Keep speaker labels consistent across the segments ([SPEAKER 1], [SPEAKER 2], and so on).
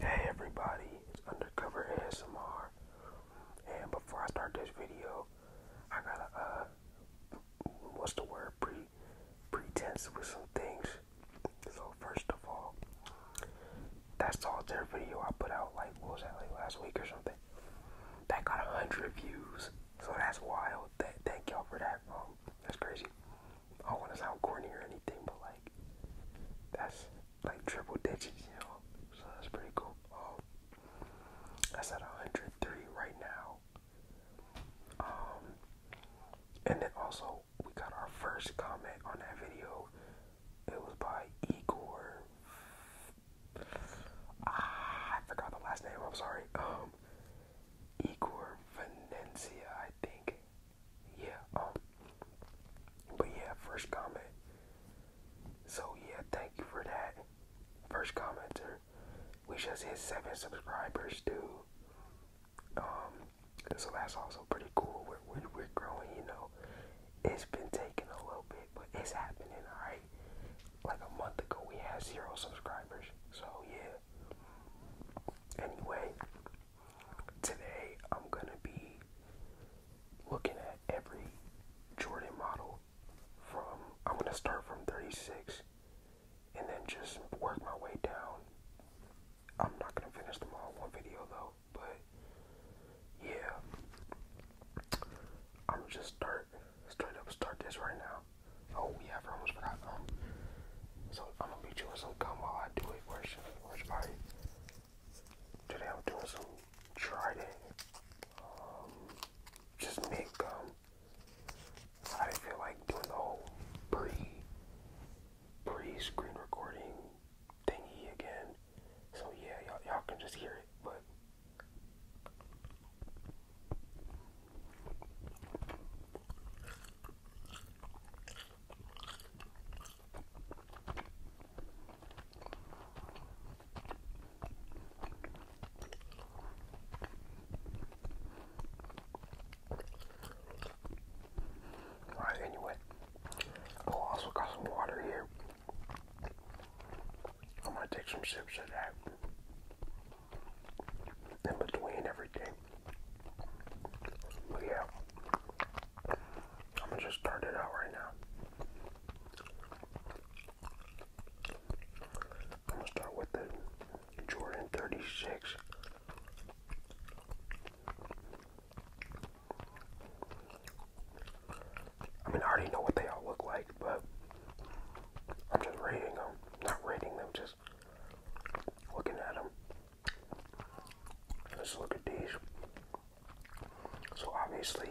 [SPEAKER 1] Hey everybody, it's Undercover SMR. and before I start this video, I gotta, uh, what's the word, pre, pretense with some things, so first of all, that's all solitaire video I put out, like, was that, like last week or something, that got a hundred views, so that's wild, thank y'all for that, um, that's crazy, I don't want to sound corny or anything, but like that's like triple digits, you know. So that's pretty cool. Um, that's at 103 right now. Um, and then also we got our first comment on that video. It was by Igor. Ah, I forgot the last name. I'm sorry. Um, Igor Venencia, I think yeah, um, but yeah, first comment. So yeah, thank you for that. First commenter. We just hit seven subscribers too. Um, so that's also pretty cool. We're, we're, we're growing, you know. It's been taking a little bit, but it's happening, alright? Like a month ago, we had zero subscribers. So yeah. Anyway, Today I'm gonna be looking at every Jordan model from I'm gonna start from 36 and then just work my way down. I'm not gonna finish them all in one video though, but yeah. I'm just start straight up start this right now. Oh yeah, almost forgot. Um, so I'm gonna meet you in some gum while I do it. Worship, worship. All right. Today I'm doing some Trident, um, just mint I didn't feel like doing the whole pre, pre-screen recording thingy again. So yeah, y'all, y'all can just hear it, but. Alright, anyway, I also got some water here. I'm gonna take some sips of that in between everything yeah, I'm gonna just start it out right now. I'm gonna start with the Jordan 36. I mean, I already know what they all look like, but I'm just rating them. Not rating them, just looking at them. Let's look at these. So obviously,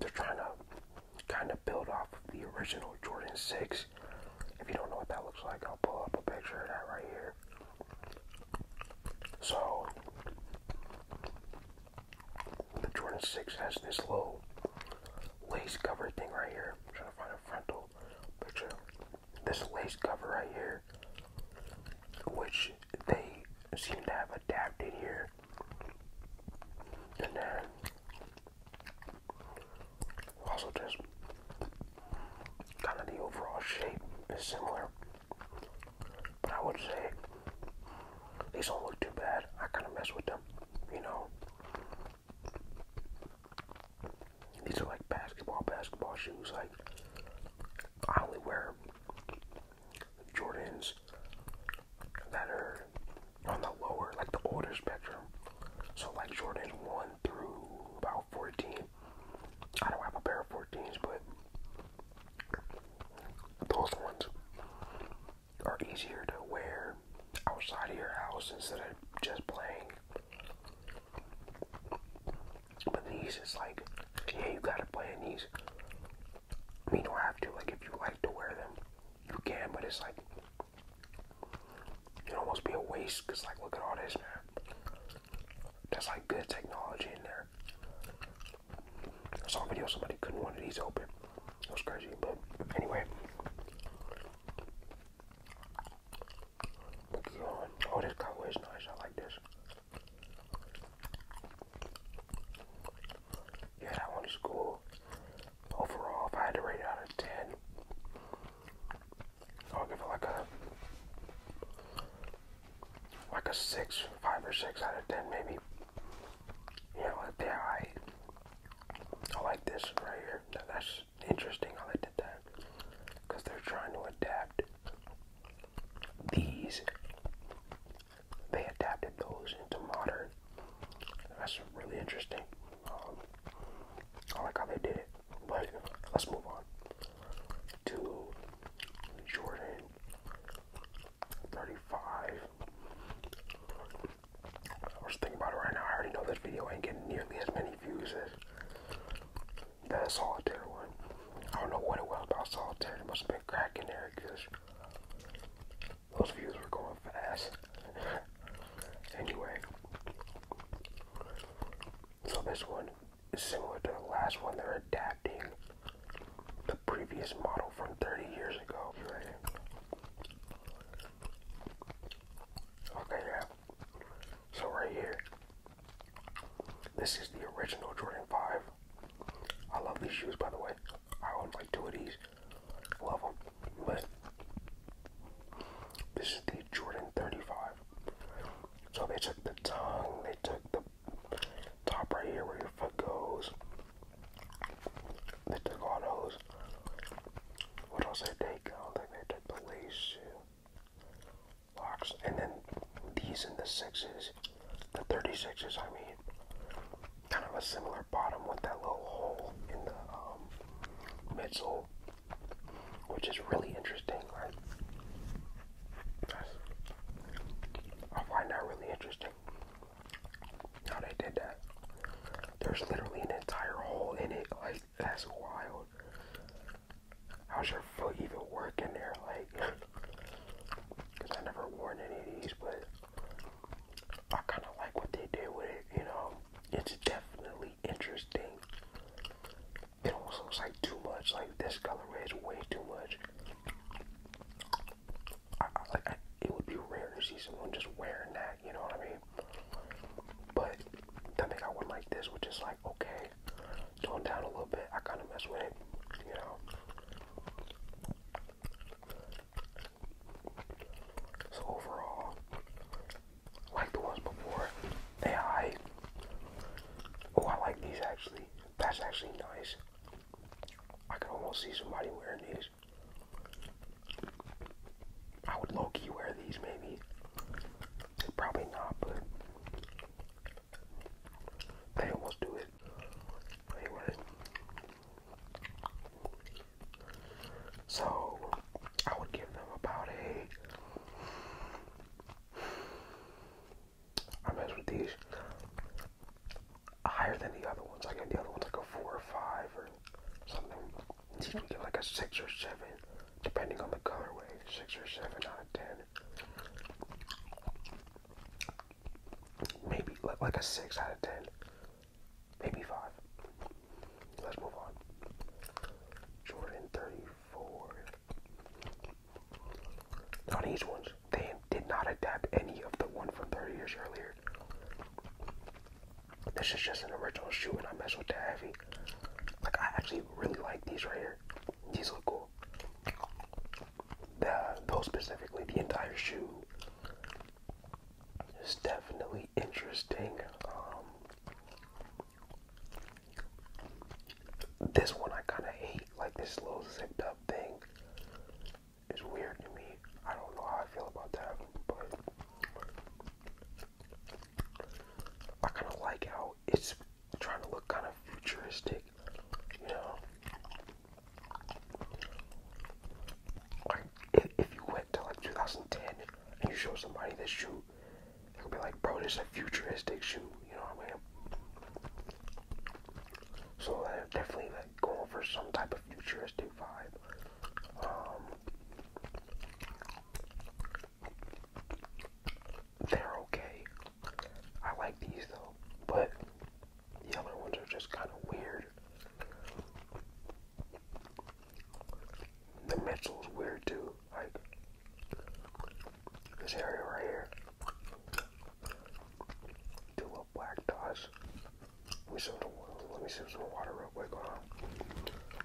[SPEAKER 1] they're trying to kind of build off of the original Jordan 6. If you don't know what that looks like, I'll pull up a picture of that right here. So, the Jordan 6 has this low lace covered thing right here. I'm trying to find a frontal. This lace cover right here, which they seem to have adapted here. And then also just kind of the overall shape is similar. But I would say these don't look too bad. I kind of mess with them, you know. These are like basketball, basketball shoes. Like, I only wear Jordans that are on the lower, like the older spectrum. So, like Jordans 1 through about 14. I don't have a pair of 14s, but those ones are easier to wear outside of your house instead of just playing but these, it's like, yeah, you gotta play in these. I mean, you don't have to. Like, if you like to wear them, you can. But it's like, it almost be a waste. Cause like, look at all this, man. That's like good technology in there. I saw a video somebody couldn't one of these open. It was crazy. But anyway, Oh, this cowboy is nice. I like this. Yeah, I one to school. Overall, if I had to rate it out of 10, I'll give it like a like a six, five or six out of ten, maybe. You know, yeah, I I like this right here. That's interesting how they did that because they're trying to adapt these. They adapted those into modern. That's really interesting. Um, I like how they did it. But let's move on to Jordan 35. I was thinking about it right now. I already know this video ain't getting nearly as many confuses. That solitaire one. I don't know what it was about solitaire. There must have been cracking there because those views were going fast. anyway. So this one is similar to the last one. They're adapting the previous model from 30 years ago. Okay, yeah. So right here, this is the original Jordan 5. I love these shoes, by the way. I own like two of these. Love them. But this is the Jordan 35. So they took the tongue, they took the top right here where your foot goes. They took all those. What else they take? I don't think they that plays locks, uh, and then these and the sixes, the 36s, I mean, kind of a similar bottom with that little hole in the um, midsole, which is really interesting. Like, I find that really interesting how they did that. There's literally an entire hole in it, like that's wild. How's your foot even working there? Like, because I never worn any of these, but I kind of like what they did with it, you know? It's definitely interesting. It almost looks like too much. Like, this colorway is way too much. I, it would be rare to see someone just wearing that, you know what I mean? But I think I would like this, which is like okay, going down a little bit. I kind of mess with it, you know. So overall, like the ones before, they I oh I like these actually. That's actually nice. I can almost see somebody wearing these. I would low key wear these maybe. Probably not, but they almost do it. Anyway. So I would give them about a I mess with these higher than the other ones. I gave the other ones like a four or five or something get like a 6 or 7, depending on the colorway. 6 or 7 out of 10. Maybe like a 6 out of 10. Maybe 5. Let's move on. Jordan 34. Now these ones, they did not adapt any of the one from 30 years earlier. This is just an original shoe and I mess with that heavy. Like I actually really like these right here. These look cool. The those specifically, the entire shoe is definitely interesting. Um, this one I kind of hate. Like this little zipped up thing It's weird to me. I don't know how I feel about that, but I kind of like how it's trying to look kind of futuristic, you know. Like if, you went to like 2010 and you show somebody this shoe, they would be like, "Bro, this is a futuristic shoe," you know what I mean? So they're uh, definitely like going for some type of futuristic vibe. Um, they're okay. I like these though, but the other ones are just kind of weird. The Mitchell's weird too. Like this area right here. Two little black dots. Let me see some, let me see some water real quick. Hold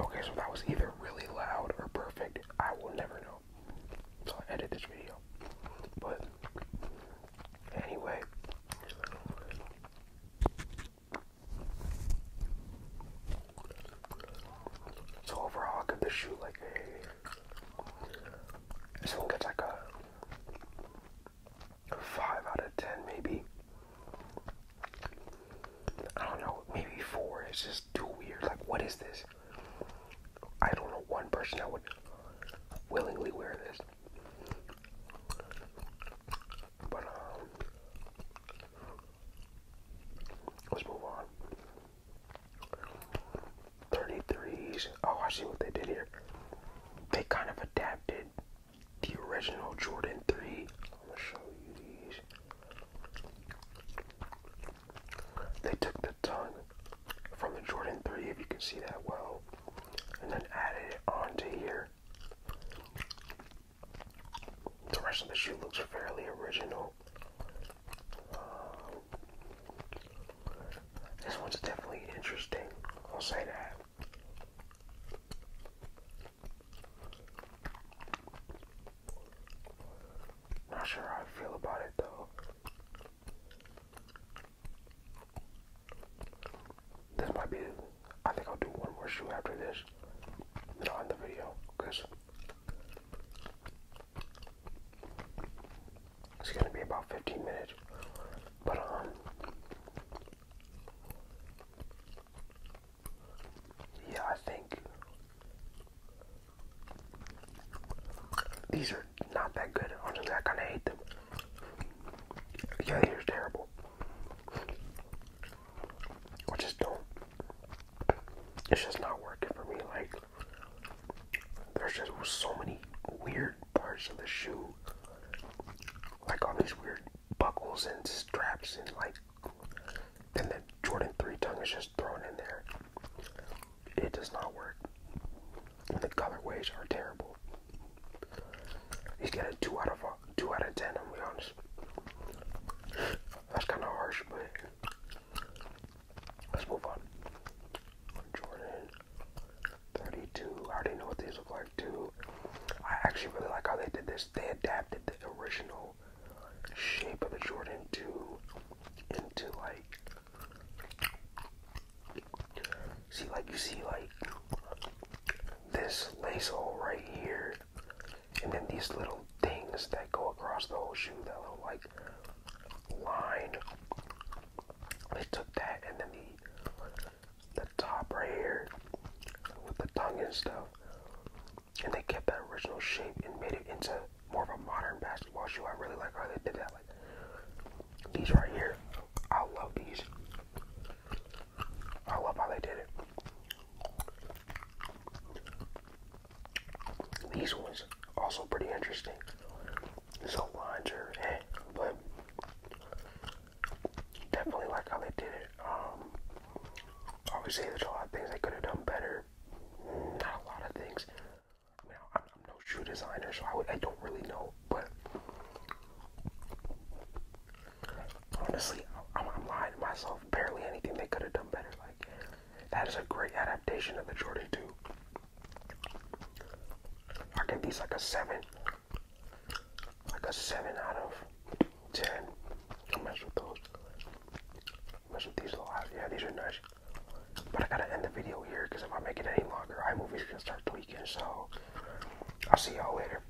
[SPEAKER 1] Okay, so that was either really loud or perfect. I will never know. So I edit this video. But anyway, so overall, I could just like a. This one like a five out of ten, maybe. I don't know, maybe four. It's just too weird. Like, what is this? I don't know one person that would willingly wear this. But um, Let's move on. Thirty three 33s. Oh, I see what they did here. They kind of adapted the original Jordan 3. I'm gonna show you these. They took the tongue from the Jordan 3, if you can see that well, and then added it onto here. The rest of the shoe looks fairly original. Um, this one's definitely interesting. I'll say that. Not sure how I feel about it though. This might be I think I'll do one more shoe after this. Then I'll end the video. Because it's going to be about 15 minutes. But, um, yeah, I think these are not that good. Honestly, I kind of hate them. Yeah, these are terrible. I just don't. It's just not working for me. Like, there's just so many weird parts of the shoe, like all these weird buckles and straps, and like, then the Jordan 3 tongue is just thrown in there. It does not work. the colorways are terrible. He's a 2 out of five. 2 out of 10, I'm be honest. That's kind of harsh, but let's move on. Jordan 32, I already know what these look like too. I actually really like how they did this. They adapted the original shape of the Jordan 2 into like see like you see like this lace hole right here and then these little things that go across the whole shoe, that little like line. They took that and then the the top right here with the tongue and stuff. And they kept that original shape and made it into more of a modern basketball shoe. I really like how they did that. Like these right here. I love these. I love how they did it. These ones also pretty interesting. So lines are eh, but definitely like how they did it. Um, obviously there's a lot of things they could have done better. Not a lot of things. I I'm, no shoe designer, so I I don't really know, but honestly, I'm, lying to myself. Barely anything they could have done better. Like that is a great adaptation of the Jordan 2. I give these like a seven, like a seven out of ten. I mess with those. I mess with these a lot. Yeah, these are nice. But I gotta end the video here because if I make it any longer, i iMovie's gonna start tweaking. So I'll see y'all later.